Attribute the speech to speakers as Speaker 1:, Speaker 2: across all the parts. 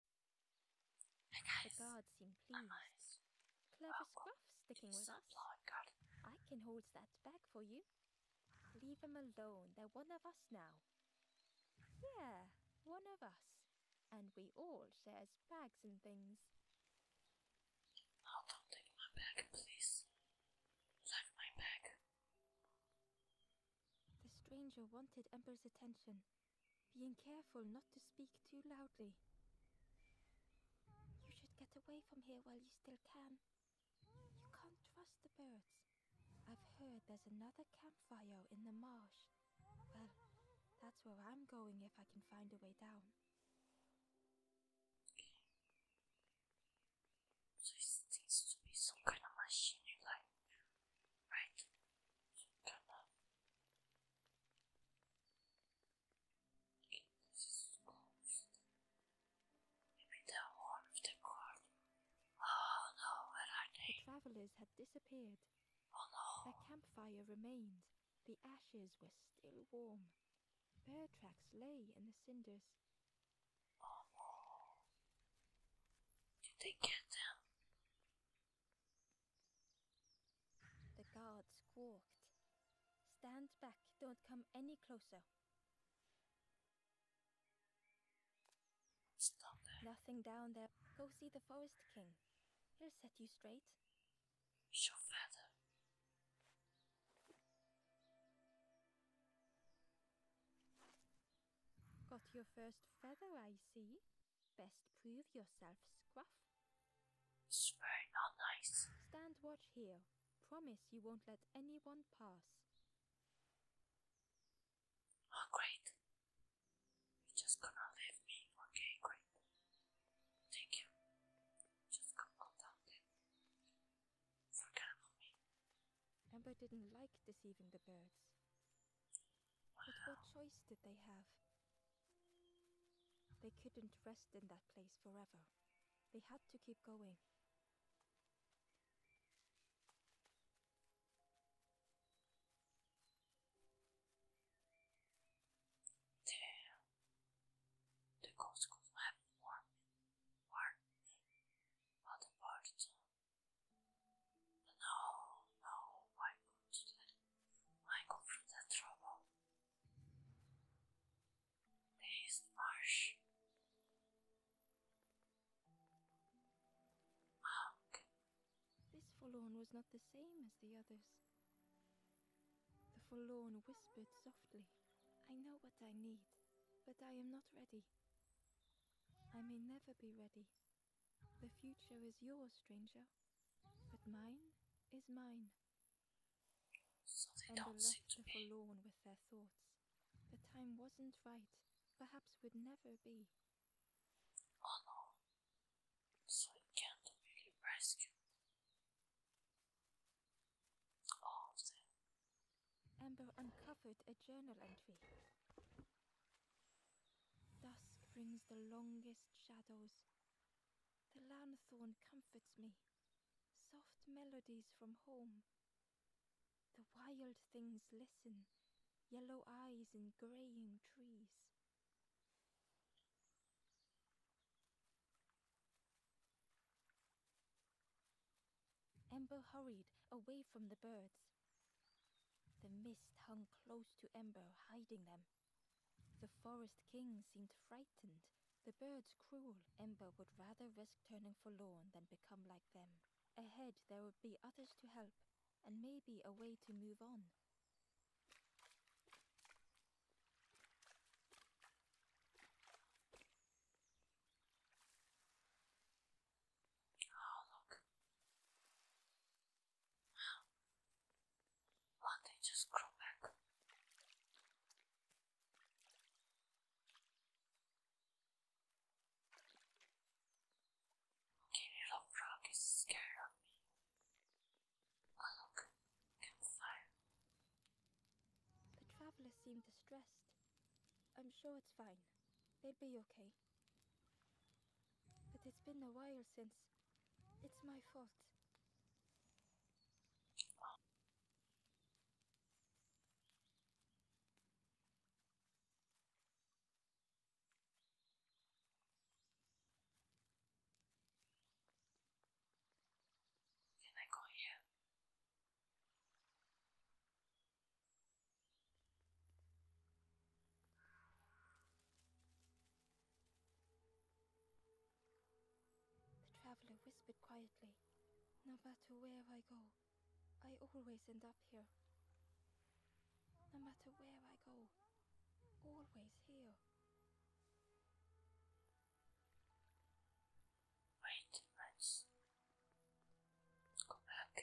Speaker 1: the guards seem pleased. Clever scruff sticking with us. I can hold that back for you. Leave them alone. They're one of us now. Yeah, one of us. And we all shares bags and things.
Speaker 2: don't take my bag, please. Leave my bag.
Speaker 1: The stranger wanted Ember's attention, being careful not to speak too loudly. You should get away from here while you still can. You can't trust the birds. I've heard there's another campfire in the marsh. Well, that's where I'm going if I can find a way down.
Speaker 2: So it seems to be some kind of machinery right? Some kind
Speaker 1: the travelers had disappeared. Oh Their campfire remained. The ashes were still warm. Bear tracks lay in the cinders. Did they get them? The guards squawked. Stand back, don't come any closer. Nothing down there. Go see the Forest King. He'll set you straight. Your father. Got your first feather, I see. Best prove yourself, Scruff.
Speaker 2: It's very nice.
Speaker 1: Stand watch here. Promise you won't let anyone pass.
Speaker 2: Oh, great. You're just gonna leave me. Okay, great.
Speaker 1: Thank you. Just come on down then. Forget about me. Amber didn't like deceiving the birds. But what choice did they have? They couldn't rest in that place forever. They had to keep going.
Speaker 2: Damn. The ghost could have warmed, warmed but the but no, no, why could they? Why go through that trouble? There is the marsh. Mark.
Speaker 1: This forlorn was not the same as the others. The forlorn whispered softly, I know what I need, but I am not ready. I may never be ready the future is yours, stranger, but mine is mine. So they and left the forlorn with their thoughts. The time wasn't right, perhaps would never be.
Speaker 2: Oh no. So it All of them.
Speaker 1: Amber uncovered a journal entry. Dusk brings the longest shadows. The lanthorn comforts me. Soft melodies from home. The wild things listen, yellow eyes in graying trees. Ember hurried away from the birds. The mist hung close to Ember, hiding them. The forest king seemed frightened, the birds cruel. Ember would rather risk turning forlorn than become like them. Ahead there would be others to help, and maybe a way to move on.
Speaker 2: Oh, look. Why don't just grow back? Okay, little frog is scared of me. look, campfire.
Speaker 1: The travelers seem distressed. I'm sure it's fine. They'll be okay. But it's been a while since. It's my fault.
Speaker 2: Can I go here?
Speaker 1: The traveler whispered quietly, No matter where I go, I always end up here. No matter where I go, always here.
Speaker 2: Wait, let's
Speaker 1: go back.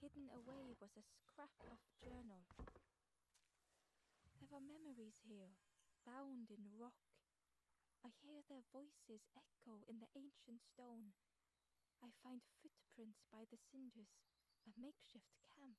Speaker 1: Hidden away was a scrap of journal. There are memories here, bound in rock. I hear their voices echo in the ancient stone. I find footprints by the cinders, a makeshift camp.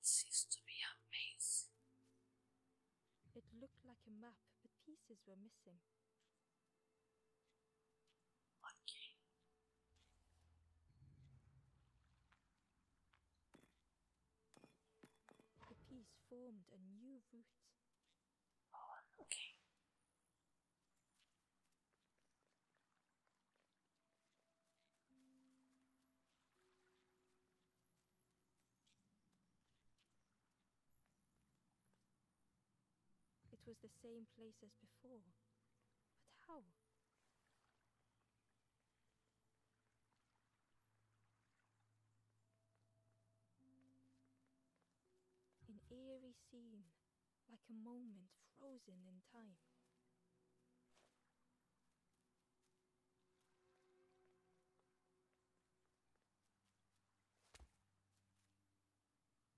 Speaker 2: It seems to be a
Speaker 1: It looked like a map, but pieces were missing. Lucky. piece formed a new route. Oh, okay. It was the same place as before. But how? An eerie scene, like a moment frozen in time.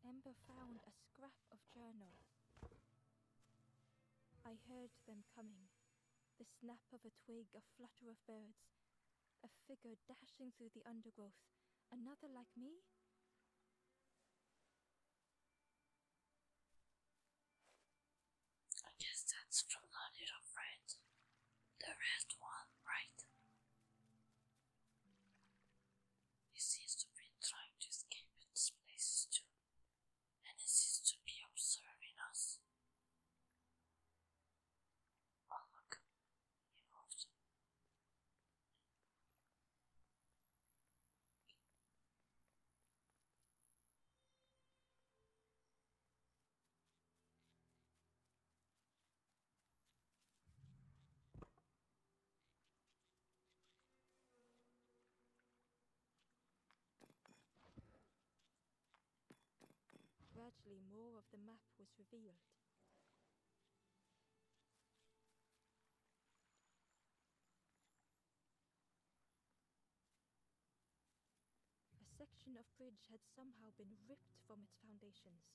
Speaker 1: Ember found a scrap of journal. I heard them coming the snap of a twig, a flutter of birds, a figure dashing through the undergrowth. Another like me?
Speaker 2: I guess that's from the little friend. The red one, right? He seems to be trying to escape in this place too. And he seems to be observing us while locally involved.
Speaker 1: Gradually, more of the map was revealed. A section of bridge had somehow been ripped from its foundations.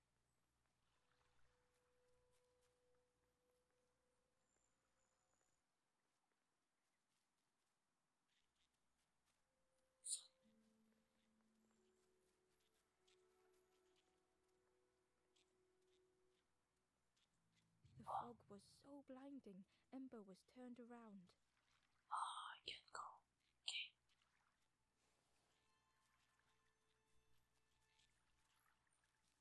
Speaker 1: The fog was so blinding, Ember was turned around. Ah,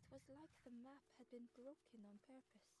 Speaker 1: It was like the map had been broken on purpose.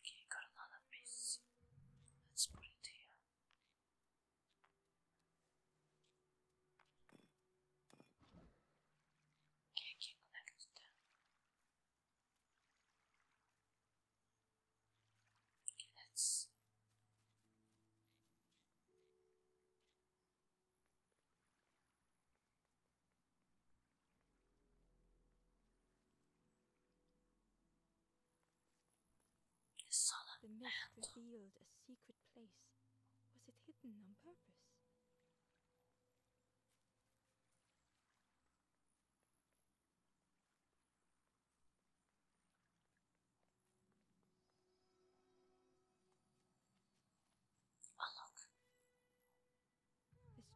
Speaker 2: Okay, got another piece. Let's put it here. Okay, can connect them. Okay, let's
Speaker 1: the mist revealed a secret place. Was it hidden on purpose? Oh,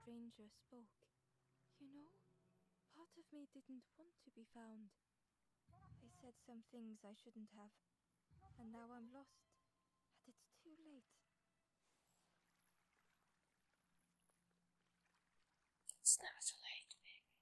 Speaker 1: stranger spoke. You know, part of me didn't want to be found. I said some things I shouldn't have, and now I'm lost, and it's too late.
Speaker 2: It's never late,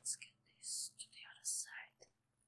Speaker 2: Let's get this to the other side.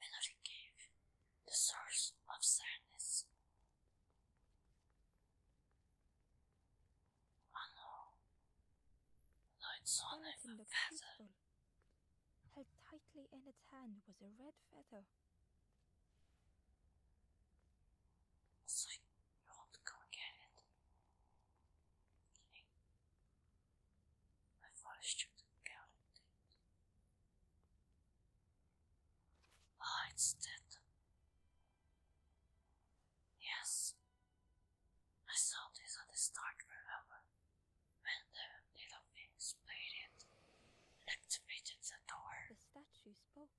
Speaker 2: Melody Cave, the source of sadness. I it's only a feather.
Speaker 1: Held tightly in its hand was a red feather. So you
Speaker 2: won't go get it. I've got a student counting things. Ah, it's dead. Yes. I saw this at the start, remember? When the little things played it and activated the door. The
Speaker 1: statue spoke,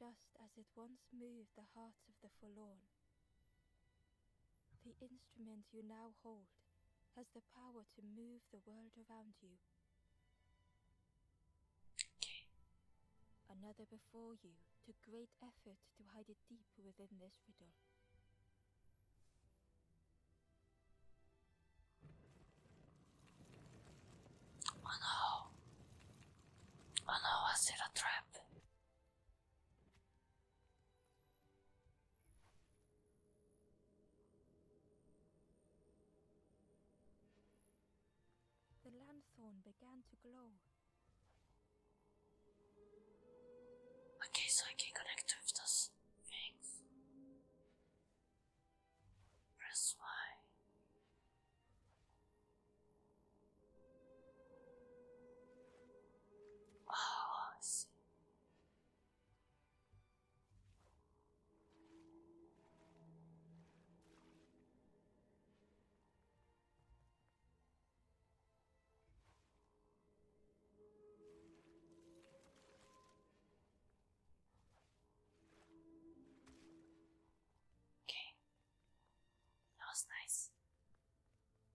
Speaker 1: just as it once moved the hearts of the forlorn. The instrument you now hold has the power to move the world around you. Another before you took great effort to hide it deep within this riddle.
Speaker 2: Oh no! Oh no, was it a trap?
Speaker 1: The lanthorn began to glow.
Speaker 2: Okay, so I can connect with those things. Press Y. Oh, I Okay, that was nice.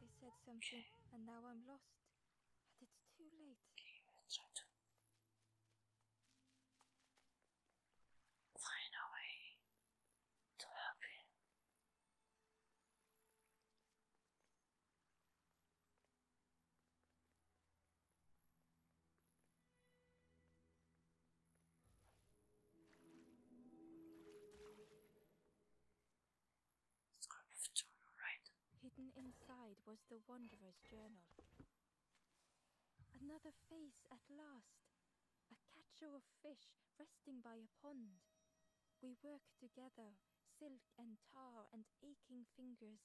Speaker 1: They said something and now I'm lost. And it's too late.
Speaker 2: find a way to help you.
Speaker 1: Hidden inside was the Wanderer's journal. Another face at last. A catcher of fish resting by a pond. We work together, silk and tar and aching fingers.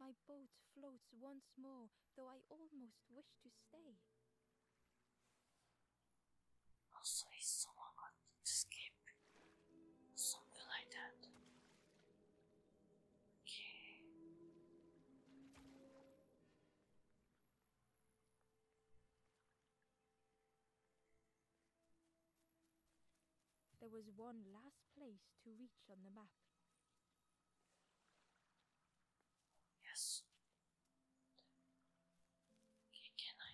Speaker 1: My boat floats once more, though I almost wish to stay.
Speaker 2: Also, if someone escape something like that. Okay.
Speaker 1: There was one last place to reach on the map. Yes. can I?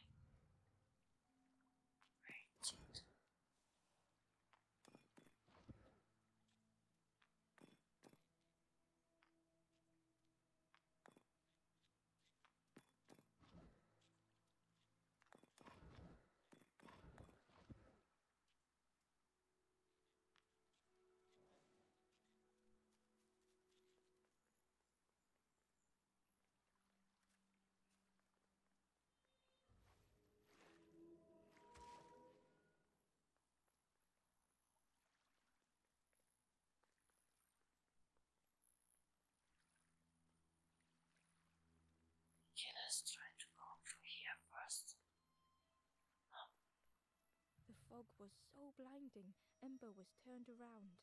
Speaker 1: Very gentle. Very
Speaker 2: Okay, let try to go through here
Speaker 1: first. The fog was so blinding, Ember was turned around.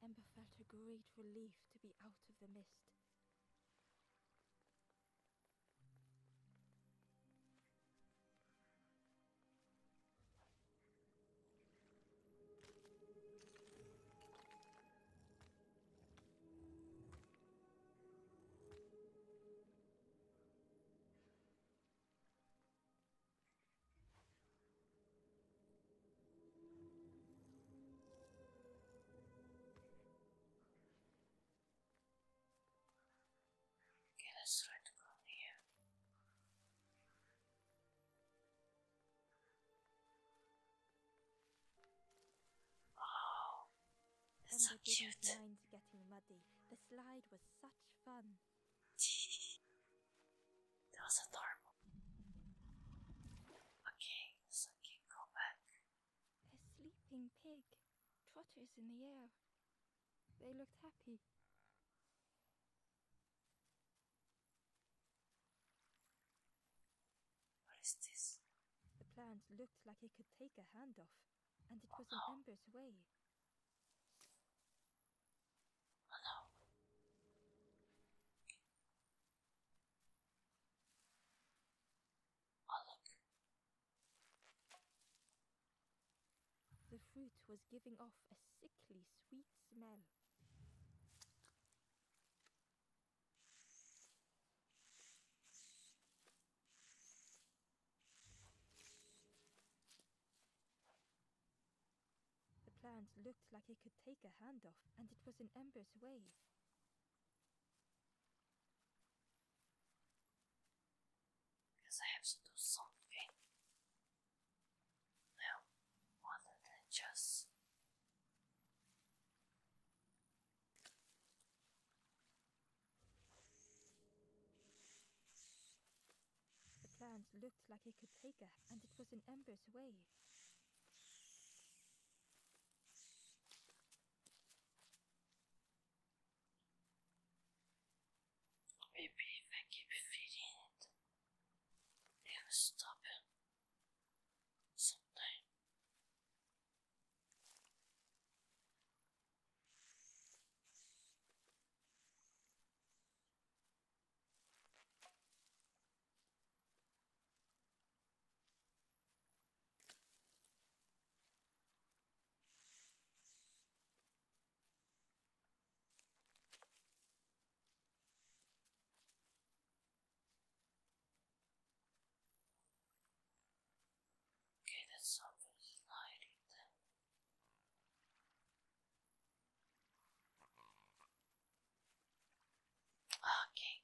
Speaker 1: Ember felt a great relief to be out of the mist.
Speaker 2: Get us try to go near.
Speaker 1: Oh, that's and so cute. getting muddy. The slide was such fun.
Speaker 2: that was adorable.
Speaker 1: Okay, a sleeping pig trotters in the air. They looked happy. What is this? The plant looked like it could take a hand off, and it was an in Ember's way. Oh the fruit was giving off a sickly sweet smell. The plant looked like it could take a handoff, and it was in Ember's way.
Speaker 2: Because I have to do something. Now, rather than just
Speaker 1: The plant looked like it could take her, and it was an Ember's way.
Speaker 2: Maybe if I keep feeding it, it will stop sometime. Okay, that's something sliding there. Okay.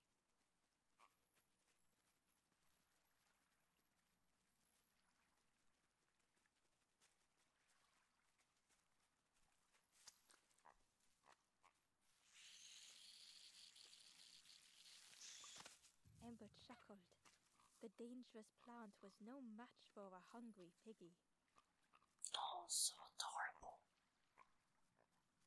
Speaker 1: Embert chuckled. The dangerous plant was no match for a hungry piggy.
Speaker 2: Oh, so adorable.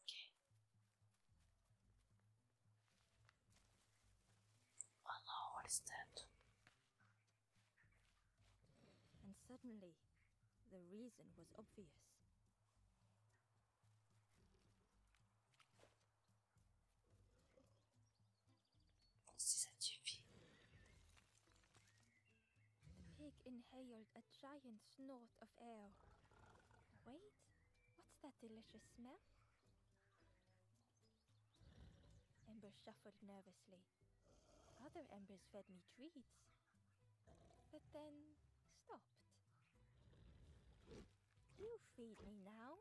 Speaker 1: Okay.
Speaker 2: what is that?
Speaker 1: And suddenly, the reason was obvious. This is a GP. The pig inhaled a giant snort of air. Wait, what's that delicious smell? Ember shuffled nervously. Other embers fed me treats, but then stopped. You feed me now.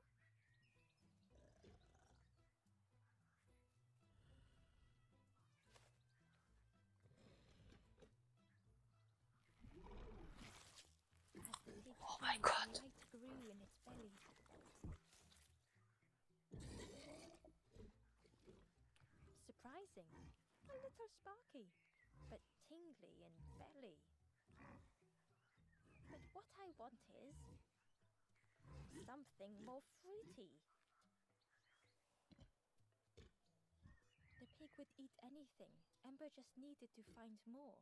Speaker 2: Oh my god.
Speaker 1: Surprising. A little sparky, but tingly in belly. But what I want is something more fruity. The pig would eat anything. Ember just needed to find more.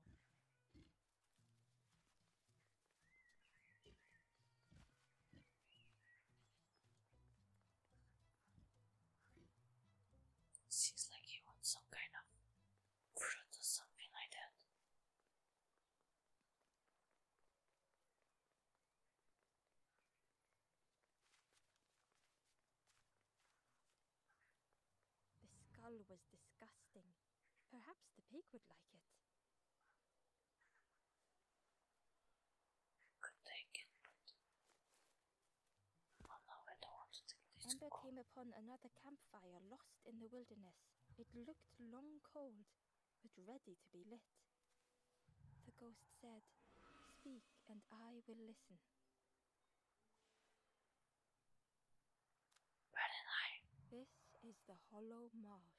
Speaker 2: Seems like he wants some kind of fruit or something like that.
Speaker 1: The skull was disgusting. Perhaps the pig would like it.
Speaker 2: Could take it, but... Oh no, I
Speaker 1: Ember came upon another campfire lost in the wilderness. It looked long cold, but ready to be lit. The ghost said, Speak, and I will listen. This is the Hollow Marsh.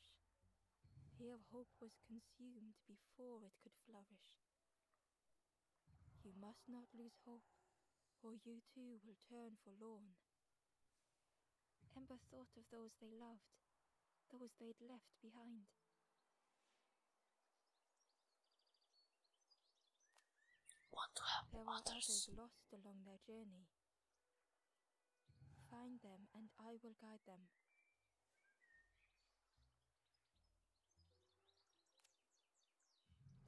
Speaker 1: Here hope was consumed before it could flourish. You must not lose hope, or you too will turn forlorn. Ember thought of those they loved, those they'd left behind. Want to there were others. lost along their journey. Find them and I will guide them.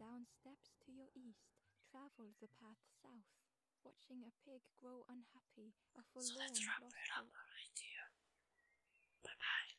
Speaker 1: Down steps to your east, travel the path south, watching a pig grow unhappy, a forlorn so let's wrap it up right here. Bye bye.